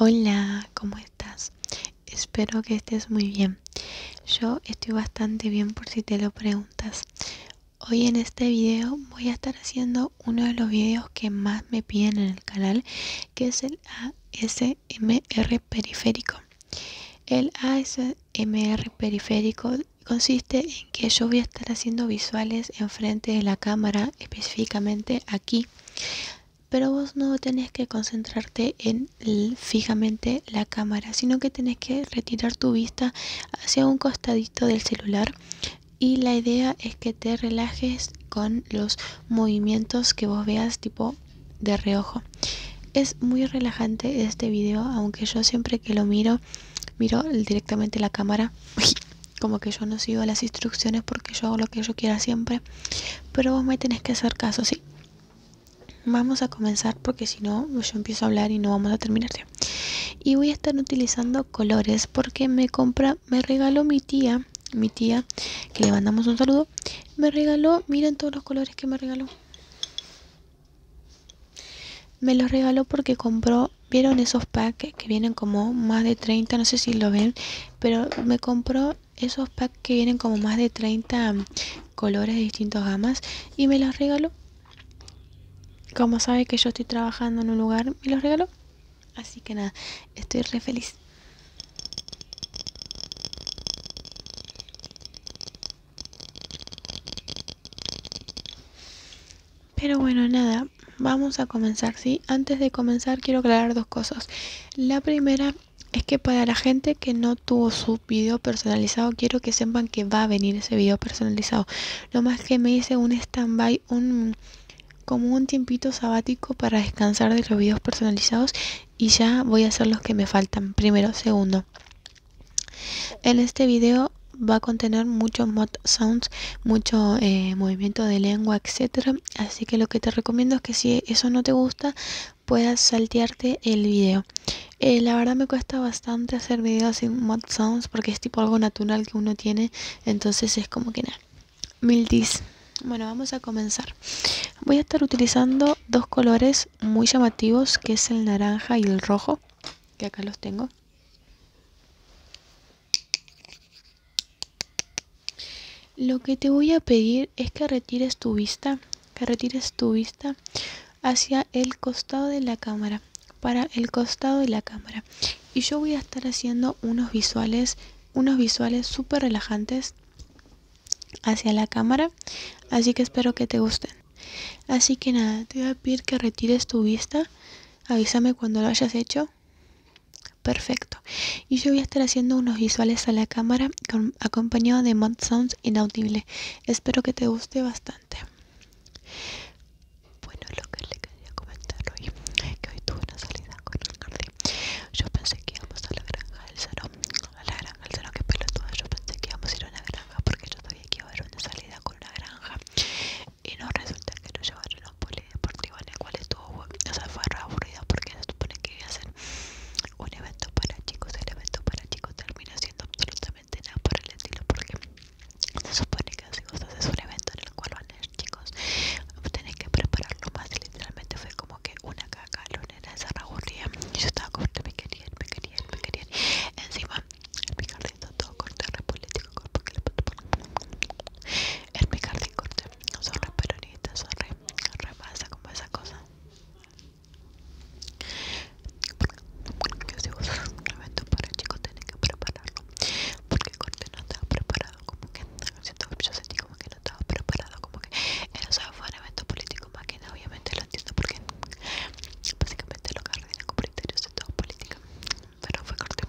Hola, ¿cómo estás? Espero que estés muy bien. Yo estoy bastante bien por si te lo preguntas. Hoy en este video voy a estar haciendo uno de los videos que más me piden en el canal, que es el ASMR periférico. El ASMR periférico consiste en que yo voy a estar haciendo visuales enfrente de la cámara, específicamente aquí, pero vos no tenés que concentrarte en fijamente la cámara, sino que tenés que retirar tu vista hacia un costadito del celular y la idea es que te relajes con los movimientos que vos veas tipo de reojo. Es muy relajante este vídeo aunque yo siempre que lo miro, miro directamente la cámara. Como que yo no sigo las instrucciones porque yo hago lo que yo quiera siempre. Pero vos me tenés que hacer caso, ¿sí? Vamos a comenzar porque si no, yo empiezo a hablar y no vamos a terminar. Y voy a estar utilizando colores porque me compra, me regaló mi tía, mi tía, que le mandamos un saludo me regaló, miren todos los colores que me regaló. Me los regaló porque compró, vieron esos packs que vienen como más de 30, no sé si lo ven, pero me compró esos packs que vienen como más de 30 mm, colores de distintos gamas y me los regaló. Como sabe que yo estoy trabajando en un lugar, me los regaló. Así que nada, estoy re feliz. Pero bueno, nada, vamos a comenzar, ¿sí? Antes de comenzar quiero aclarar dos cosas. La primera es que para la gente que no tuvo su video personalizado, quiero que sepan que va a venir ese video personalizado. Lo más que me hice un stand-by, un como un tiempito sabático para descansar de los videos personalizados y ya voy a hacer los que me faltan primero segundo en este video va a contener muchos mod sounds mucho eh, movimiento de lengua etcétera así que lo que te recomiendo es que si eso no te gusta puedas saltearte el video eh, la verdad me cuesta bastante hacer videos sin mod sounds porque es tipo algo natural que uno tiene entonces es como que nada Mildis. Bueno, vamos a comenzar. Voy a estar utilizando dos colores muy llamativos, que es el naranja y el rojo, que acá los tengo. Lo que te voy a pedir es que retires tu vista, que retires tu vista hacia el costado de la cámara, para el costado de la cámara. Y yo voy a estar haciendo unos visuales unos visuales súper relajantes hacia la cámara. Así que espero que te gusten. Así que nada, te voy a pedir que retires tu vista. Avísame cuando lo hayas hecho. Perfecto. Y yo voy a estar haciendo unos visuales a la cámara acompañado de mod Sounds inaudible. Espero que te guste bastante. Bueno, lo le quería comentarlo hoy que hoy tuve una salida con el jardín yo pensé que íbamos a la granja del cerro, a la granja del cerro que pelotuda yo pensé que íbamos a ir a una granja porque yo todavía quiero ver una salida con una granja y no resulta que nos llevaron a un polideportivo en el cual estuvo o sea fue aburrido porque se supone que iba a ser un evento para chicos el evento para chicos termina siendo absolutamente nada por el estilo porque se supone que así vos es un evento en el cual van a chicos Tenés que prepararlo más Literalmente fue como que una caca Lunera de zanahoria Y yo estaba corta, me querían, me querían, me querían Encima, el picardito todo corte Repolítico, porque le El picardín corte Son re peronitas, son re, re masa Como esa cosa yo un evento para chicos tienen que prepararlo porque corte no estaba preparado como que sentí como que no estaba preparado, como que era un evento político más que obviamente lo entiendo porque básicamente lo de de todo política, pero fue corto.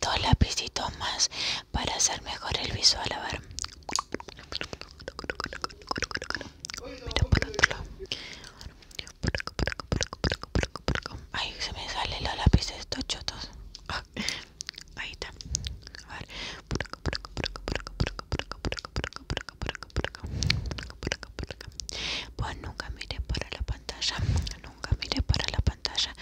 dos lapicitos más para hacer mejor el visual. A ver. Mira por otro lado. Ay, se me salen los lápices estos chotos. Ah, ahí está. A ver. Pues nunca mire para la pantalla nunca mire para la pantalla,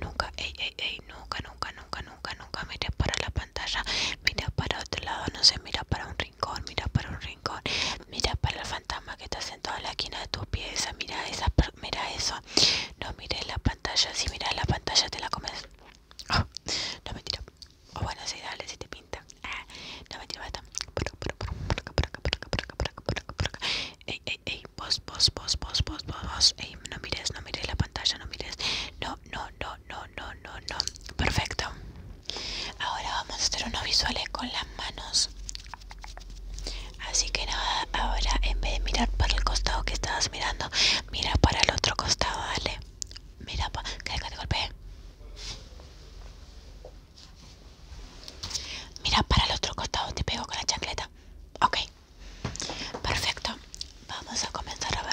nunca, ey, ey, ey, nunca, nunca, nunca, nunca, nunca mire para la pantalla, mira para otro lado, no sé, mira para un rincón, mira para un rincón, mira para el fantasma que está sentado toda la esquina de tu pieza, mira esa, mira eso, no mires la pantalla, si miras la pantalla te la comes, no ah, no mentira, o oh, bueno, si dale, si te pinta, ah, no mentira, basta, Ey, ey, ey, vos, vos, vos, vos, vos, vos, no mires, no mires la pantalla, no mires. No, no, no, no, no, no, no. Perfecto. Ahora vamos a hacer unos visuales con las manos. Así que nada, ahora en vez de mirar para el costado que estabas mirando, mira para el otro costado, dale. Mira, pa ¿querés que Mira para el otro costado, te pego con la chancleta. Ok, perfecto. Vamos a comenzar a ver.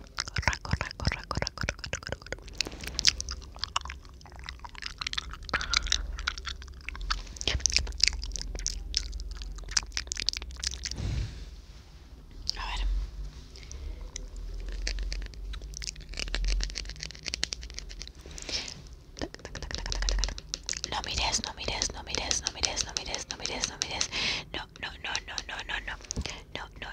corra, corra, corra, corra, corra, corra, corra. A ver. No mires, no mires, no mires, no mires, no mires, no no No, no, no, no, no, no, no. No, no,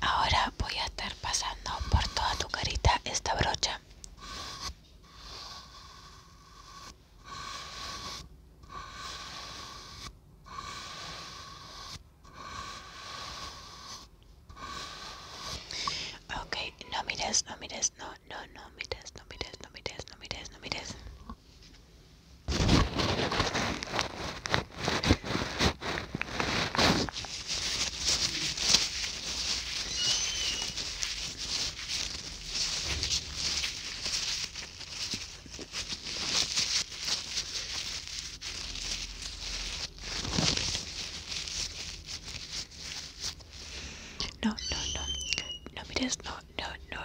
Ahora voy a estar pasando por toda tu carita esta brocha. Ok, no mires, no mires, no, no, no mires, no mires, no mires, no mires, no mires. No, no, no, no mires, no, no, no,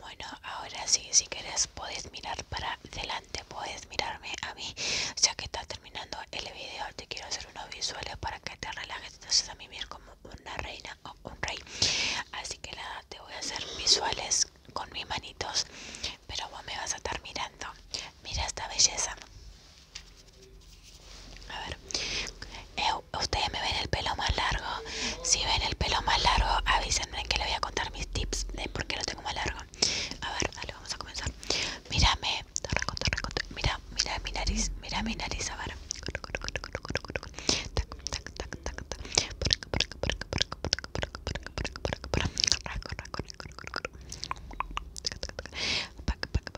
bueno, ahora sí, si quieres puedes mirar para adelante, puedes mirarme a mí. Ya que está terminando el video, te quiero hacer unos visuales para que te relajes. Entonces a mimir como una reina o un rey. Así que nada, te voy a hacer visuales con mis manitos. Pero vos me vas a estar mirando. Mira esta belleza. A ver, eh, ustedes me ven el pelo más largo. Si ven el pelo más largo, avísenme que les voy a contar mis tips de por qué lo tengo más largo. A ver, dale, vamos a comenzar. Mírame, mira, mira mi nariz, mira mi nariz, a ver.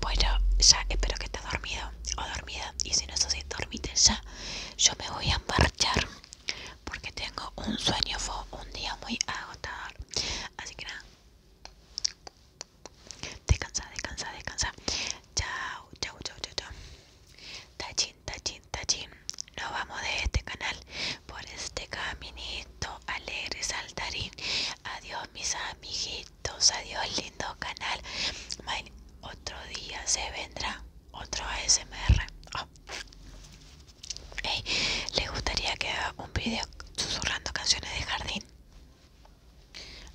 Bueno, ya espero que estés dormido o dormida. Y si no estás dormite ya, yo me voy a marchar. Porque tengo un sueño, fue un día muy agotador. Así que nada. Descansa, descansa, descansa. Chao, chao, chao, chao, chao. Tachin, tachin. Tallín, nos vamos de este canal por este caminito alegre saltarín. Adiós mis amiguitos, adiós lindo canal. otro día se vendrá otro ASMR. Ah. ¿Le gustaría que haga un video susurrando canciones de jardín?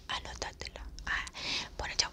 Anótatelo. Ah, bueno, chao.